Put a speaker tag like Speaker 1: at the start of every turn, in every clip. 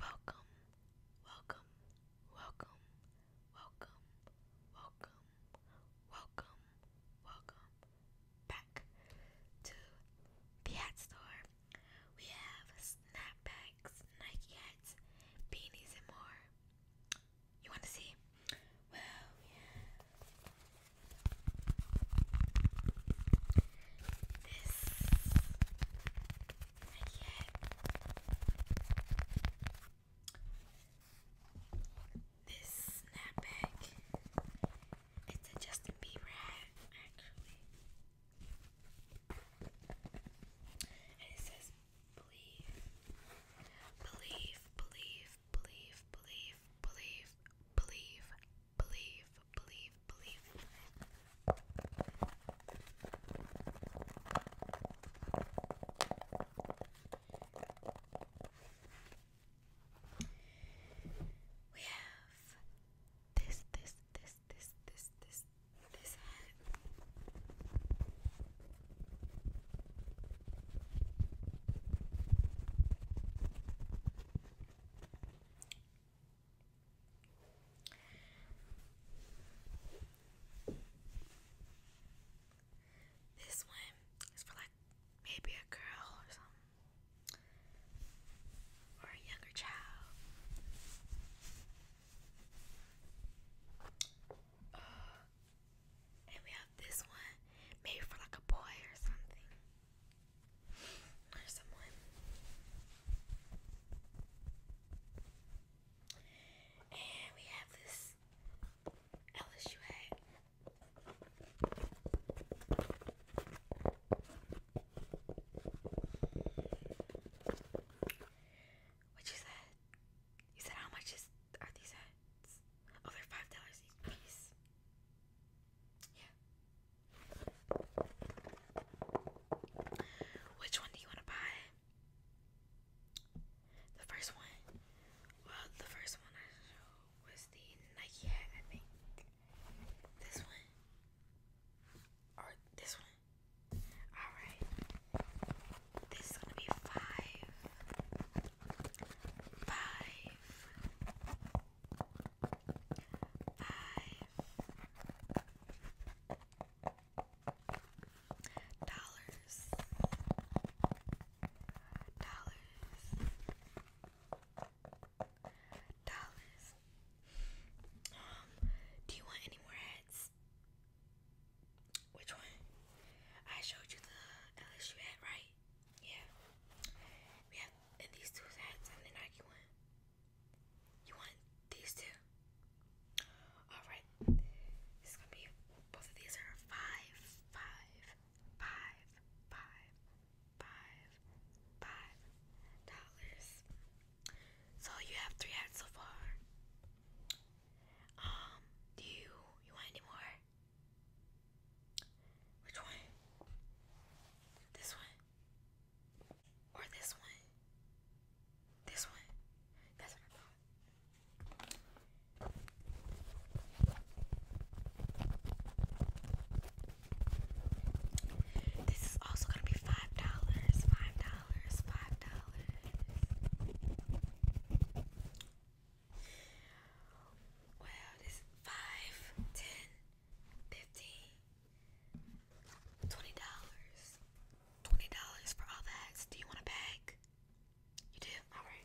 Speaker 1: Welcome, welcome, welcome, welcome, welcome, welcome, welcome back to the hat store. We have snapbacks, Nike hats, beanies, and more. You want to see? Well, we have this not This snapback. It's a Justin Bieber hat, actually. And it says believe. Believe, believe, believe, believe, believe, believe, believe, believe, believe. We have this, this, this, this, this, this, this hat. This one is for like maybe a girl or a younger child. And we have this one, maybe for like a boy or something. Or someone. And we have this LSU hat. What you say? You said how much is are these hats? Oh, they're five dollars each piece. Yeah. Which one do you want to buy? The first one. Well, the first one I know was the Nike hat, I think. This one. Or this one. Alright. This is gonna be five. dollars. Dollars. Dollars. Um, do you want any more hats? Which one? I showed you the LSU hat, right? Yeah. We and these two hats and Nike one. You want these two? Alright. This is gonna be both of these are five, five, five, five, five, five dollars. So you have three ads so far. Um, do you you want any more? Which one? This one? Or this one? This one? That's what I this is also gonna be five dollars, five dollars, five dollars. Well, this five, ten, fifteen, twenty dollars. Twenty dollars for all that. Do you want a bag? You do? Alright.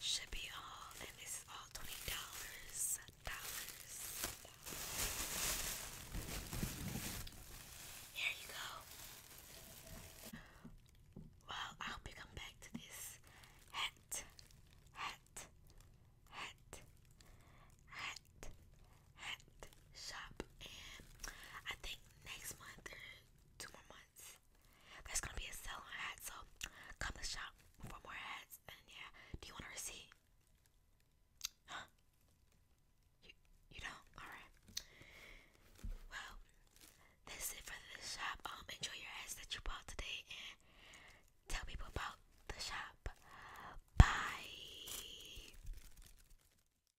Speaker 1: should be all, and this is all twenty dollars. Here you go. Well, I hope you come back to this hat, hat, hat, hat, hat shop, and I think next month or two more months. There's gonna be a sale on hats, so come to shop for more hats. And yeah, do you want a receipt? Huh? You, you don't? Alright. Well, that's it for this shop. Um, enjoy your hats that you bought today and tell people about the shop. Bye.